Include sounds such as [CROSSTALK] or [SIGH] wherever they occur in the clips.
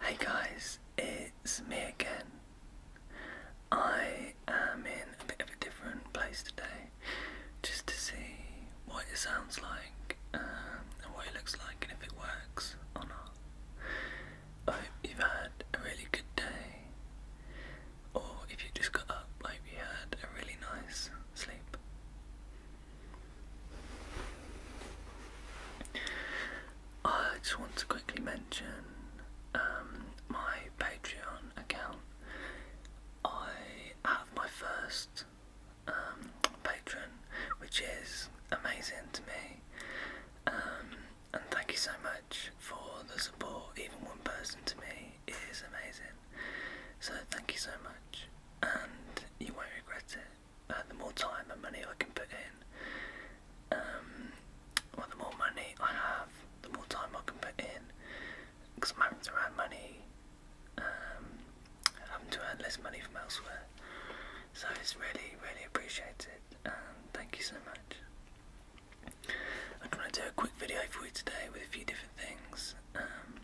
Hey guys, it's me again. I am in a bit of a different place today just to see what it sounds like um, and what it looks like and if it works or not. I hope you've had a really good day, or if you just got up, I hope you had a really nice sleep. I just want to quickly mention um, my Patreon account. I have my first um, Patreon, which is amazing to me. Um, and thank you so much for the support, even one person to me is amazing. So thank you so much, and you won't regret it. Uh, the more time and money I can put in, um, the more money I have, the more time I can put in, because I'm around money, um, having to earn less money from elsewhere. So it's really, really appreciated, and thank you so much. I'm going to do a quick video for you today with a few different things. Um,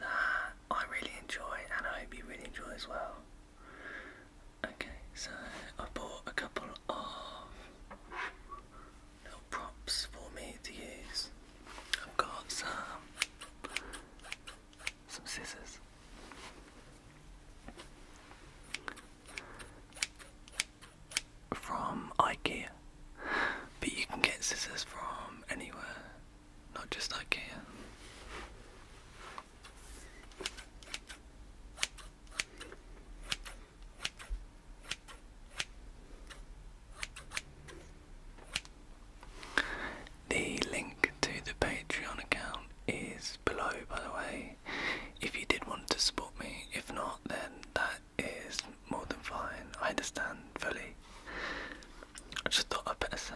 that I really enjoy and I hope you really enjoy as well. Okay, so I bought a couple of little props for me to use. I've got some some scissors. From IKEA, but you can get scissors from anywhere, not just IKEA. The link to the Patreon account is below, by the way, if you did want to support me. If not, then that that is more than fine. I understand fully. I just thought I'd better say.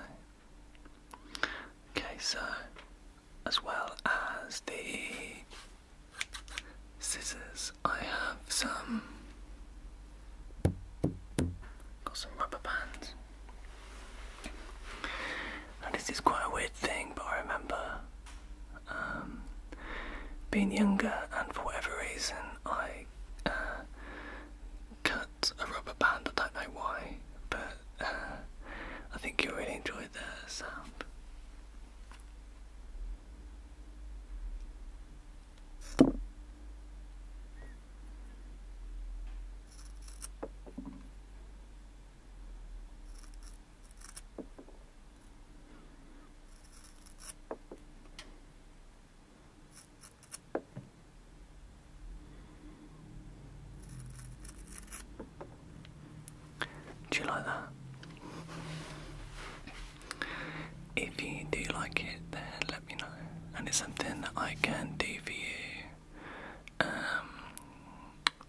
Okay, so as well as the scissors, I have some got some rubber bands. Now this is quite a weird thing, but I remember um, being younger, and for whatever reason, I uh, cut a rubber band. I don't know why, but uh, I think you really enjoy the sound. Do you like that? If you do like it, then let me know, and it's something that I can do for you. Um,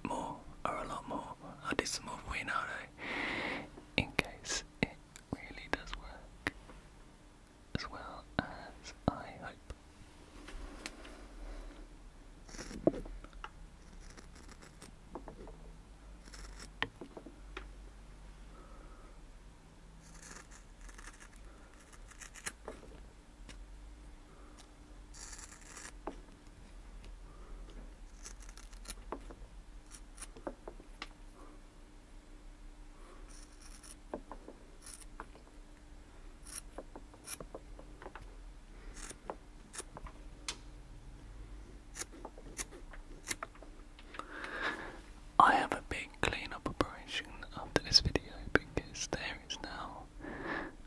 more or a lot more. I did some more for you now, in case it really does work, as well as I hope. I have a big clean-up operation after this video because there is now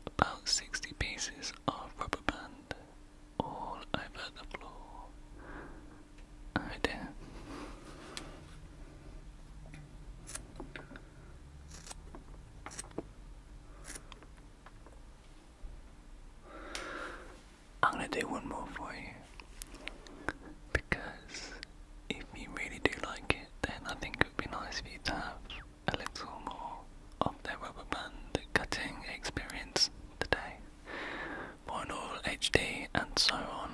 about 60 pieces of rubber band all over the floor. Oh, right there. I'm gonna do one more for you because if you really do like it, then I think it would be nice for you to have a little more of their rubber band cutting experience today. Vinyl HD and so on.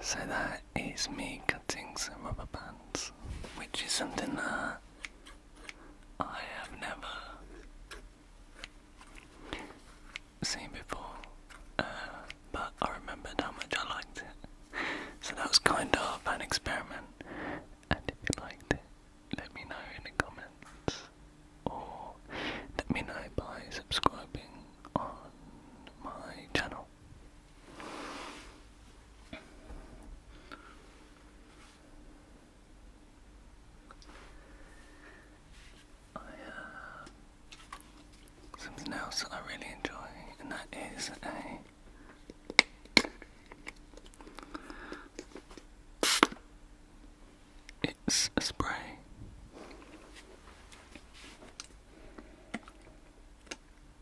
So that is me cutting some rubber bands, which is something that I have never seen before, uh, but I remembered how much I liked it. So that was kind of an experiment, and if you liked it, let me know in the comments, or let me know by subscribing on my channel. Uh, something else I really enjoy, and that is a. It's a spray.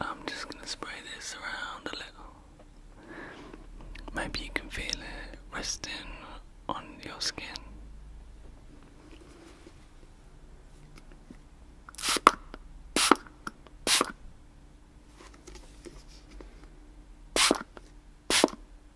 I'm just gonna spray this around a little. Maybe you can feel it resting on your skin.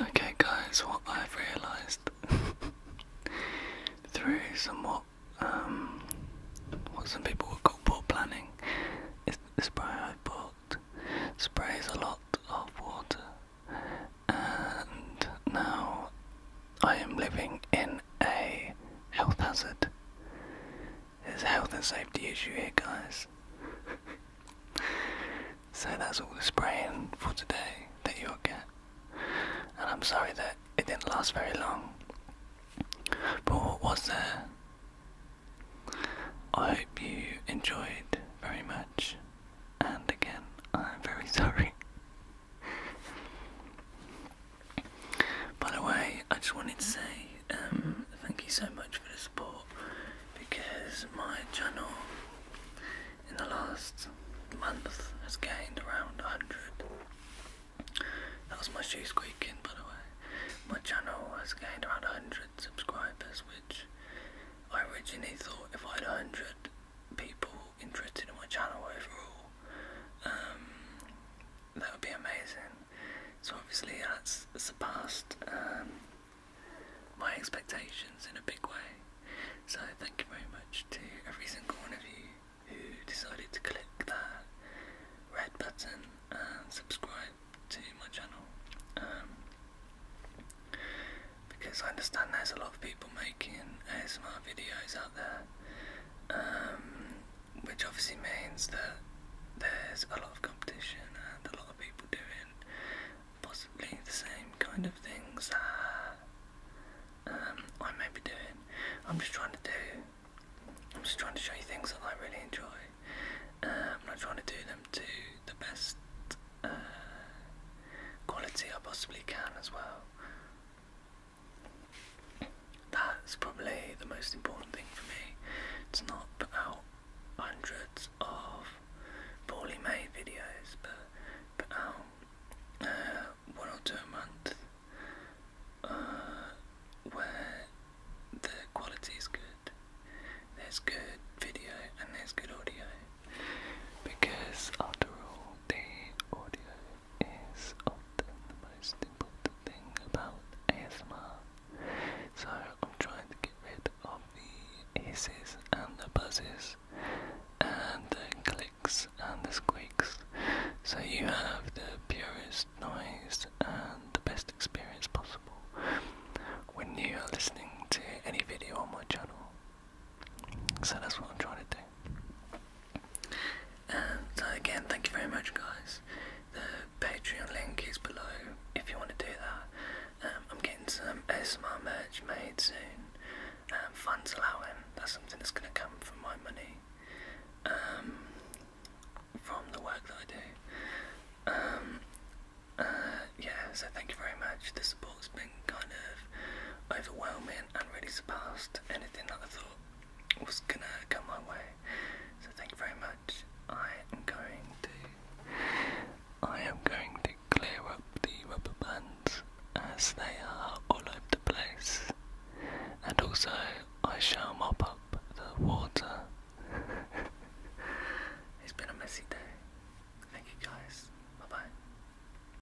Okay, guys, what I've realised [LAUGHS] through somewhat um, what some people would call poor planning is the spray I bought sprays a lot of water, and now I am living in a health hazard. There's a health and safety issue here, guys. so that's all the spraying for today that you'll get. And I'm sorry that it didn't last very long. But what was there? I hope you enjoyed very much. And again, I'm very [LAUGHS] sorry. By the way, I just wanted to say um, thank you so much for the support because my channel in the last month has gained around 100. That was my shoe squeaking, by the way. My channel has gained around 100 subscribers, which I originally thought if I had 100 people interested in my channel overall, um, that would be amazing. So obviously that's surpassed um, my expectations in a big way. So thank you very much to every single one of you who decided to click that red button and subscribe to my channel. Um, because I understand there's a lot of people making ASMR videos out there. Um, which obviously means that there's a lot of competition and a lot of people doing possibly the same kind of things that um, I may be doing. I'm just trying to do, I'm just trying to show you things that I really enjoy. Uh, I'm not trying to do them to the best uh, quality I possibly can as well. That's probably the most important thing for me It's not put out hundreds of poorly made videos, but put out uh, one or two a month uh, where the quality is good. There's good video and there's good audio because, after all, the audio is often the most important thing about ASMR. So I'm trying to get rid of the hisses and the buzzes and the clicks and the squeaks. So you have the purest noise and the best experience possible when you are listening to any video on my channel. So that's what I'm trying to do. So again, thank you very much, guys. The Patreon link is below if you want to do that. Um, I'm getting some ASMR merch made soon. Um, funds allowing, that's something that's going to come from my money. Um, from the work that I do. Um, uh, yeah, so thank you very much. The support's been kind of overwhelming and really surpassed anything that I thought was gonna come my way. So thank you very much. I am going to I am going to clear up the rubber bands as they are all over the place. And also I shall mop up the water. [LAUGHS] it's been a messy day. Thank you guys. Bye bye.